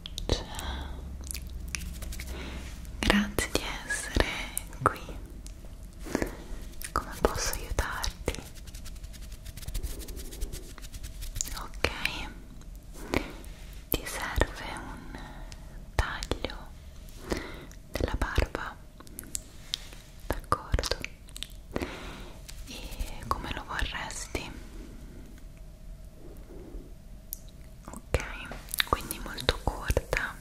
Ciao, grazie di essere qui. Come posso aiutarti? Ok, ti serve un taglio della barba? D'accordo. E come lo vorresti? ok quindi molto corta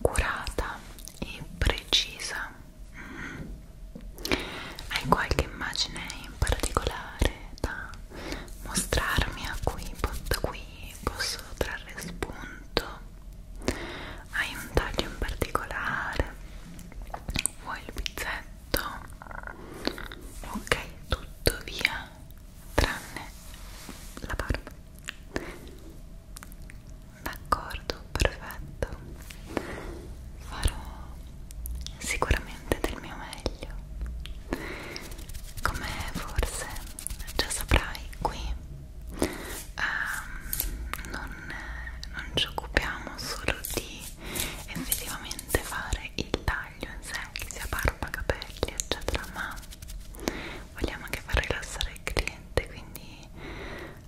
curata e precisa mm. hai qualche immagine in particolare da mostrarmi a cui da qui posso trarre spunto hai un taglio in particolare vuoi il pizzetto ok tutto via tranne la barba d'accordo perfetto farò sicuramente del mio meglio come forse già saprai qui ehm, non, non ci occupiamo solo di effettivamente fare il taglio in sé che sia parte barba, capelli eccetera ma vogliamo anche far rilassare il cliente quindi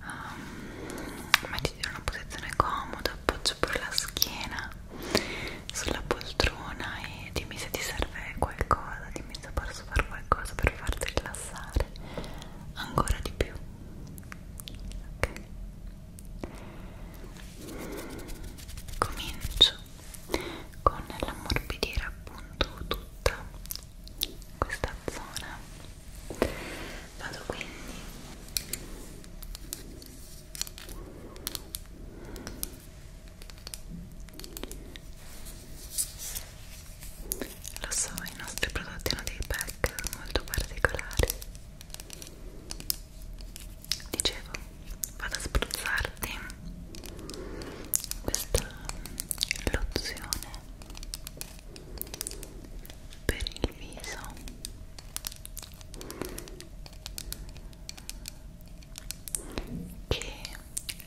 um, mettiti in una posizione comoda appoggia pure la schiena sulla poltrona e dimmi se ti serve qualcosa dimmi se posso fare qualcosa per farti rilassare ancora di più ok comincio con l'ammorbidire appunto tutta questa zona vado quindi lo so, i nostri prodotti hanno dei pack molto particolari dicevo vado a spruzzarti questa lozione per il viso che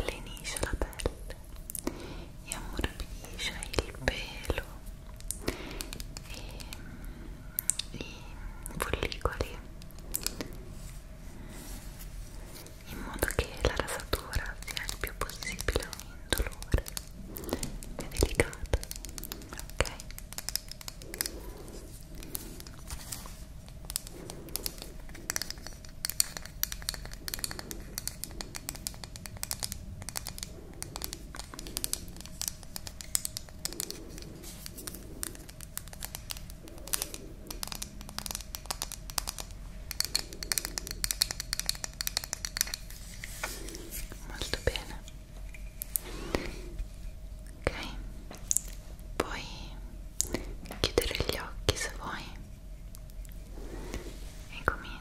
lenisce la pelle e ammorbidisce il pelo e i follicoli in modo che la rasatura sia il più possibile indolore e delicata ok molto bene ok puoi chiudere gli occhi se vuoi e comincio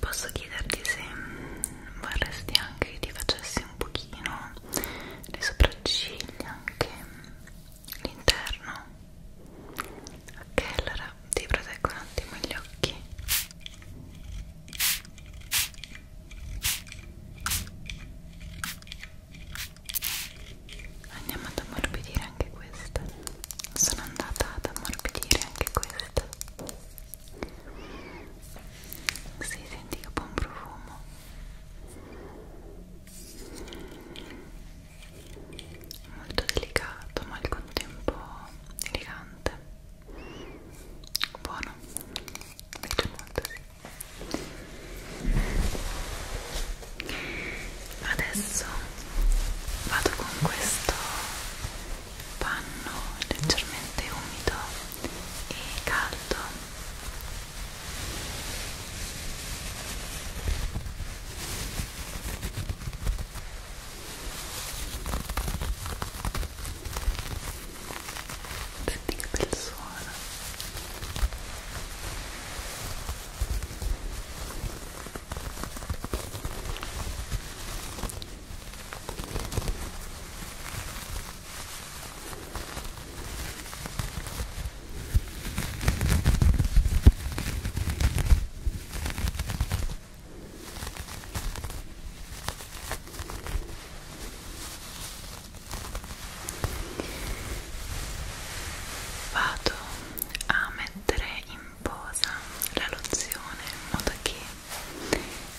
posso chiederti se vorresti anche che ti facessi un pochino le sopracciglia anche l'interno ok allora ti proteggo un attimo gli occhi ok andiamo ad ammorbidire anche questa sono andata ad ammorbidire anche questa si senti che buon profumo molto delicato ma al contempo elegante buono mi piace molto sì adesso vado con questo panno leggermente umido e caldo senti che bel suono Vado a mettere in pomposa la lozione in modo che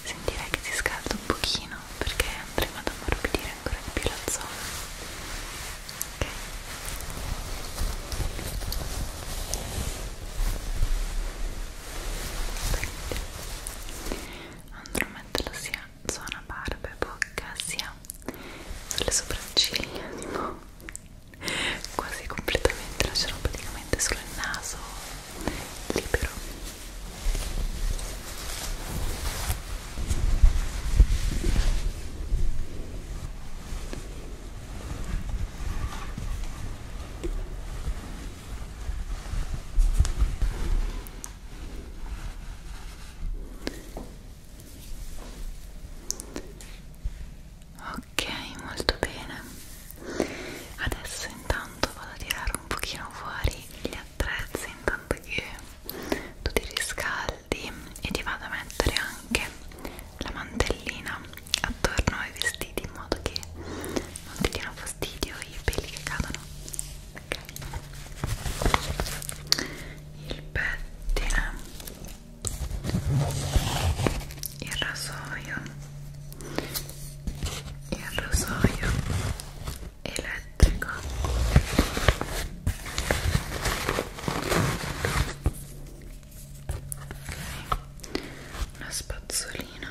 sentirei che si scalda un pochino perché andremo ad ammorbidire ancora di più la zona ok andrò a metterlo sia zona barba e bocca sia sulle sopracciglia tipo quasi completamente lascerò praticamente solo il naso libero ok molto bene adesso intanto vado a tirare un pochino fuori gli attrezzi intanto che tu ti riscaldi e ti vado a mettere anche la mantellina attorno ai vestiti in modo che non ti diano fastidio i peli che cadono ok il pettine il rasoio il rasoio elettrico okay. una spazzolina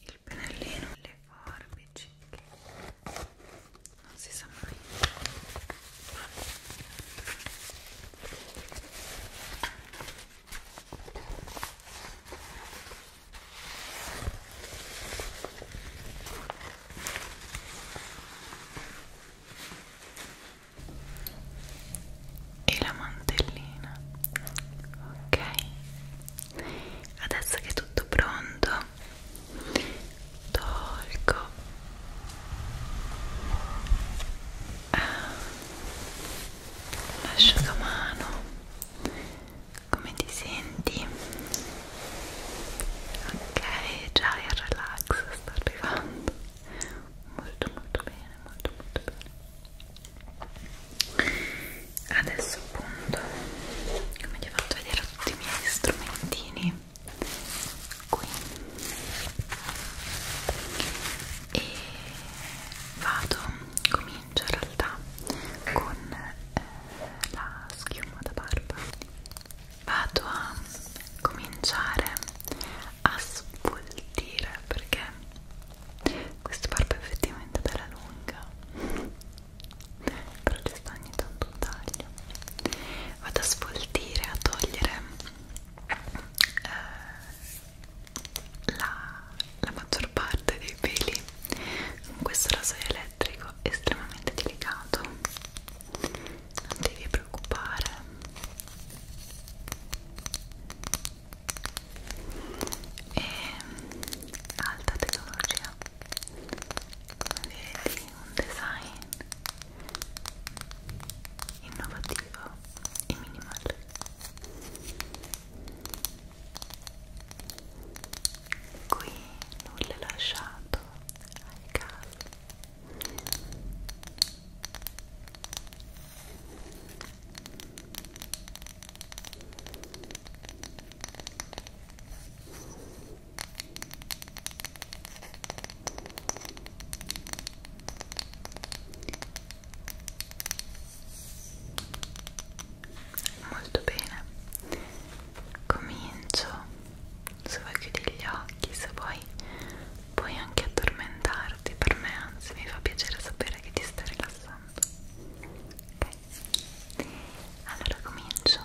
il pennellino le forbici non si sa mai e la mantellina ok adesso che è tutto pronto tolgo l'asciugamano ah. come ti senti? ok già il relax sta arrivando molto molto bene molto molto bene adesso appunto come ti ho fatto vedere tutti i miei strumentini qui e vado, comincio in realtà con eh, la schiuma da barba vado a cominciare a svoltire perché questa barba è effettivamente bella lunga però ci sta ogni tanto un taglio vado a sfoltire, a togliere eh, la, la maggior parte dei peli con questo rasoio elettrico estremamente delicato non devi preoccupare e alta tecnologia come vedi un design innovativo e minimale qui nulla è lasciato ai casi molto bene comincio se vuoi chiudi gli occhi se vuoi puoi anche addormentarti per me anzi mi fa piacere sapere che ti stai rilassando ok allora comincio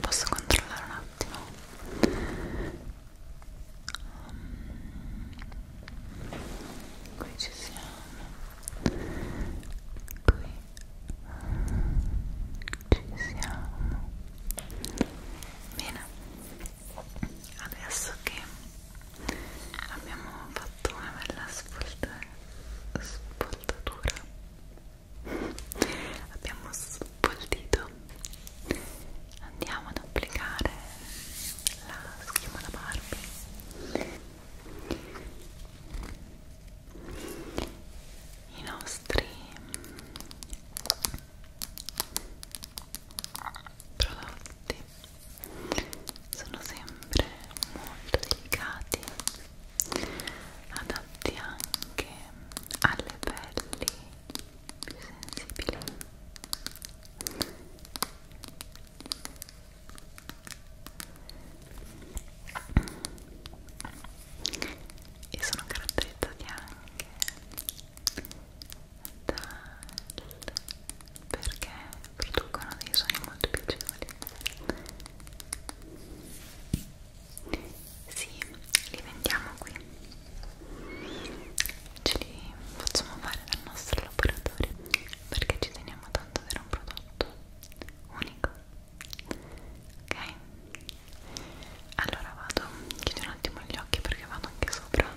posso controllare un attimo um, qui ci siamo qui ci siamo bene adesso che abbiamo fatto una bella spoltatura abbiamo sotto il dito andiamo ad applicare la schiuma da Barbie i nostri prodotti sono sempre molto delicati adatti anche alle pelli più sensibili e sono caratterizzati anche dal perché producono dei suoni molto piacevoli sì, li vendiamo qui. Ce li facciamo fare dal nostro laboratorio perché ci teniamo tanto ad avere un prodotto unico. Ok? Allora vado, chiudo un attimo gli occhi perché vado anche sopra.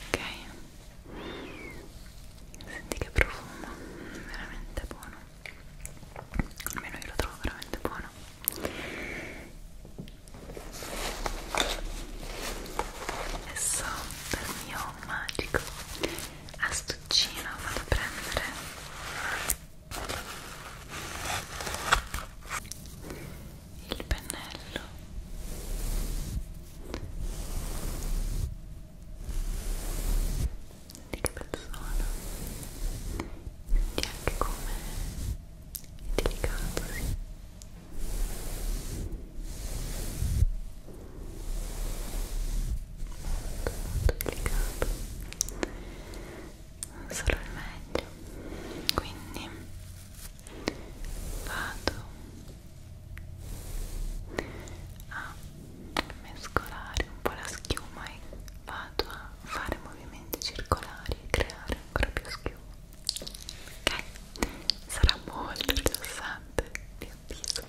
ok senti che profumo veramente buono almeno io lo trovo veramente buono adesso dal mio magico astuccino vado a prendere il pennello di che persona e anche come è delicato sì. molto molto delicato solo il meglio quindi vado a mescolare un po' la schiuma e vado a fare movimenti circolari e creare ancora più schiuma ok sarà molto rilassante vi avviso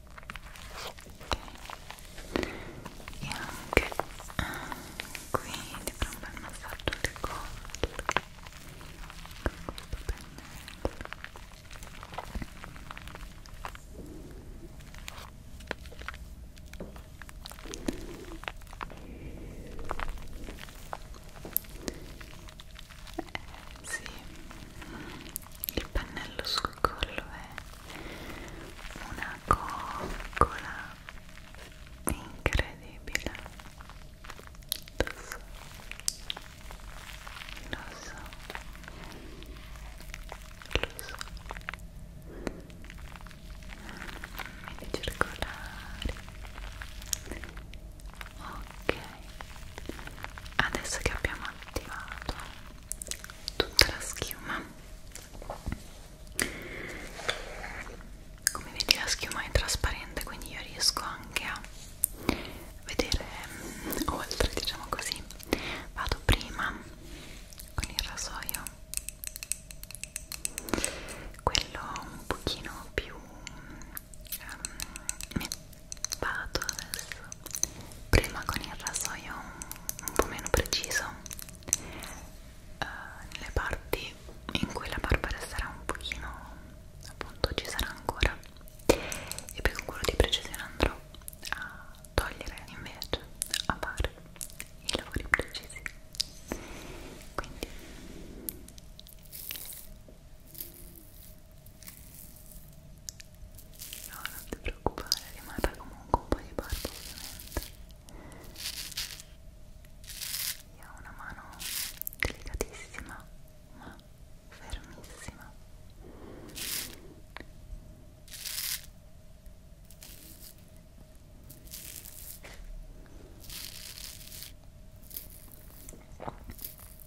ok e anche qui ti farò un bel massaggio alle corde con questo pennello eh sì il pennello sul collo è una coccola incredibile lo so lo so lo so mini circolari ok adesso che abbiamo attivato tutta la schiuma come vedi la schiuma è trasparente quindi io riesco anche a vedere mm, oltre diciamo così vado prima con il rasoio quello un pochino più um, vado adesso prima con il rasoio un, un po' meno preciso eh, nelle parti in cui la barba resterà un pochino appunto ci sarà ancora e poi con quello di precisione andrò a togliere invece a fare i lavori precisi quindi No, non ti preoccupare, rimarrà comunque un po' di barba ovviamente. Io ho una mano delicatissima, ma fermissima.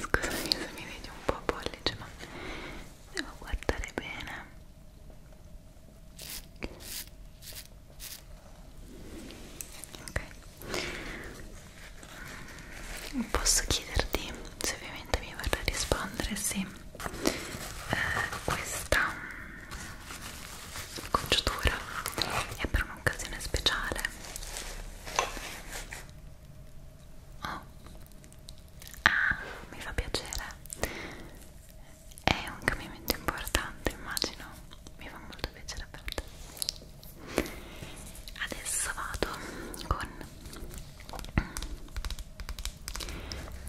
Scusami se mi vedi un po' pollice, ma devo guardare bene. Ok. Mm, posso chiederti se ovviamente mi vorrai rispondere se eh, questa mm, congiuntura è per un'occasione speciale oh ah mi fa piacere è un cambiamento importante immagino mi fa molto piacere per te adesso vado con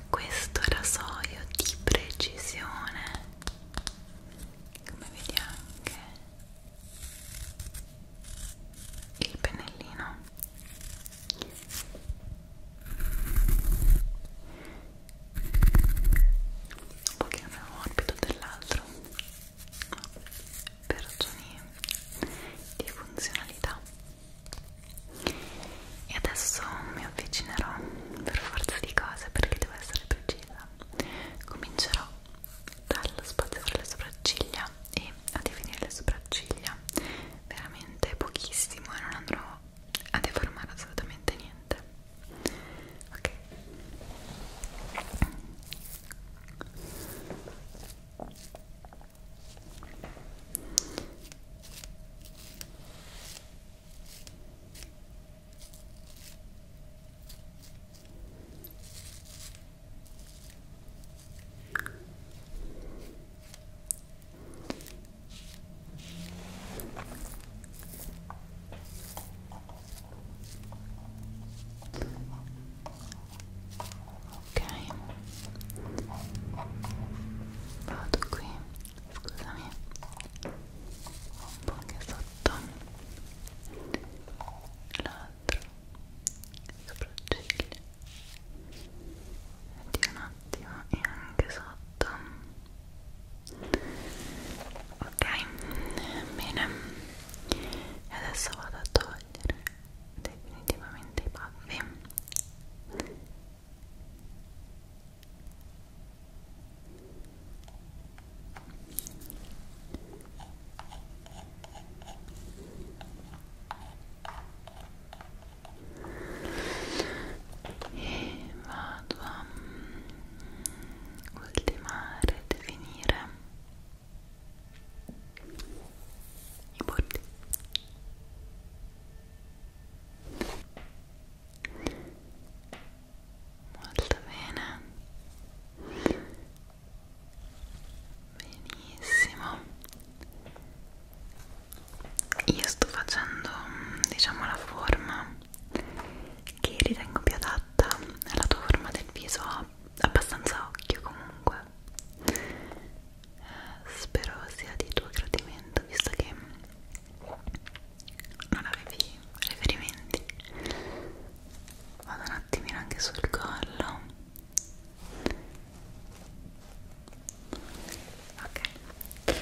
questo rasoio di precisione come vedi anche il pennellino un pochino più morbido dell'altro ma per ragioni di funzionalità e adesso mi avvicinerò per forza di cose perché devo essere precisa comincerò dallo spazio fra le sopracciglia e a definire le sopracciglia veramente pochissimo e non andrò a deformare assolutamente niente ok ok Ok, vado qui, scusami, un po' anche sotto la l'altro sopracciglia di un attimo e anche sotto ok bene e adesso vado a togliere definitivamente i baffi e vado a mm, ultimare, definire i bordi molto bene benissimo io sto facendo diciamo la forma che ritengo più adatta alla tua forma del viso abbastanza occhio comunque eh, spero sia di tuo gradimento visto che non avevi riferimenti vado un attimino anche sul collo ok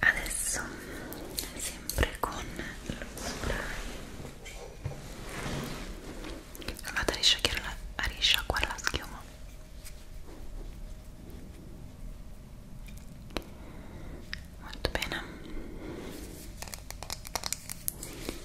adesso sempre con lo spray andate a risciacquare la, a risciacquare la schiuma molto bene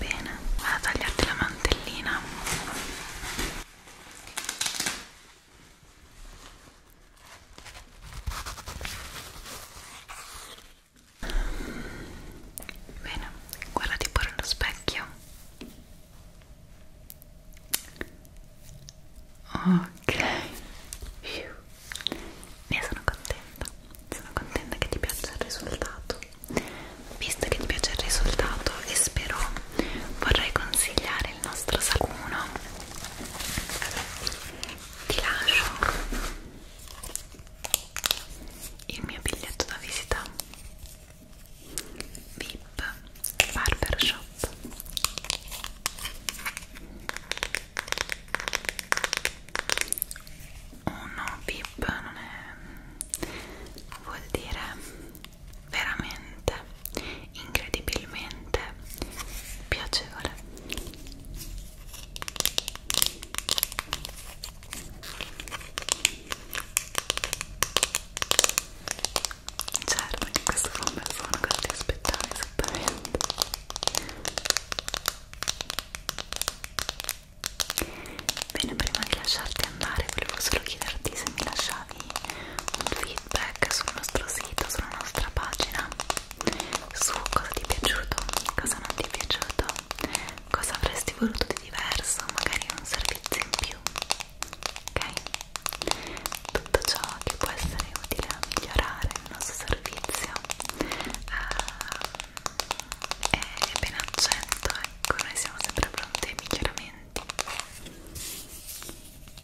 Bene, vado a tagliarti la mantellina. Bene, guardati pure allo specchio. Ok, ne sono contenta. Sono contenta che ti piaccia il risultato. Visto che ti piace il risultato, e spero vorrei consigliare il nostro sacuno ti lascio il mio biglietto da visita VIP Barbershop uno oh VIP non è vuol dire veramente incredibilmente piacevole certo che questo è un bel suono cosa ti aspettavi esattamente bene prima di lasciarti andare volevo solo chiederti se mi lasciavi un feedback feedback sul nostro sito, sulla nostra pagina su cosa ti è piaciuto, cosa non ti è piaciuto, cosa avresti voluto di diverso, magari un servizio in più ok? tutto ciò che può essere utile a migliorare il nostro servizio uh, è ben accetto ecco, noi siamo sempre pronti ai miglioramenti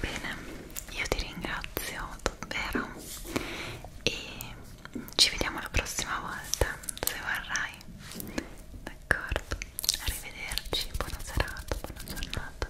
Bene, io ti ringrazio davvero e ci vediamo la prossima volta se vorrai. D'accordo, arrivederci, buona serata, buona giornata.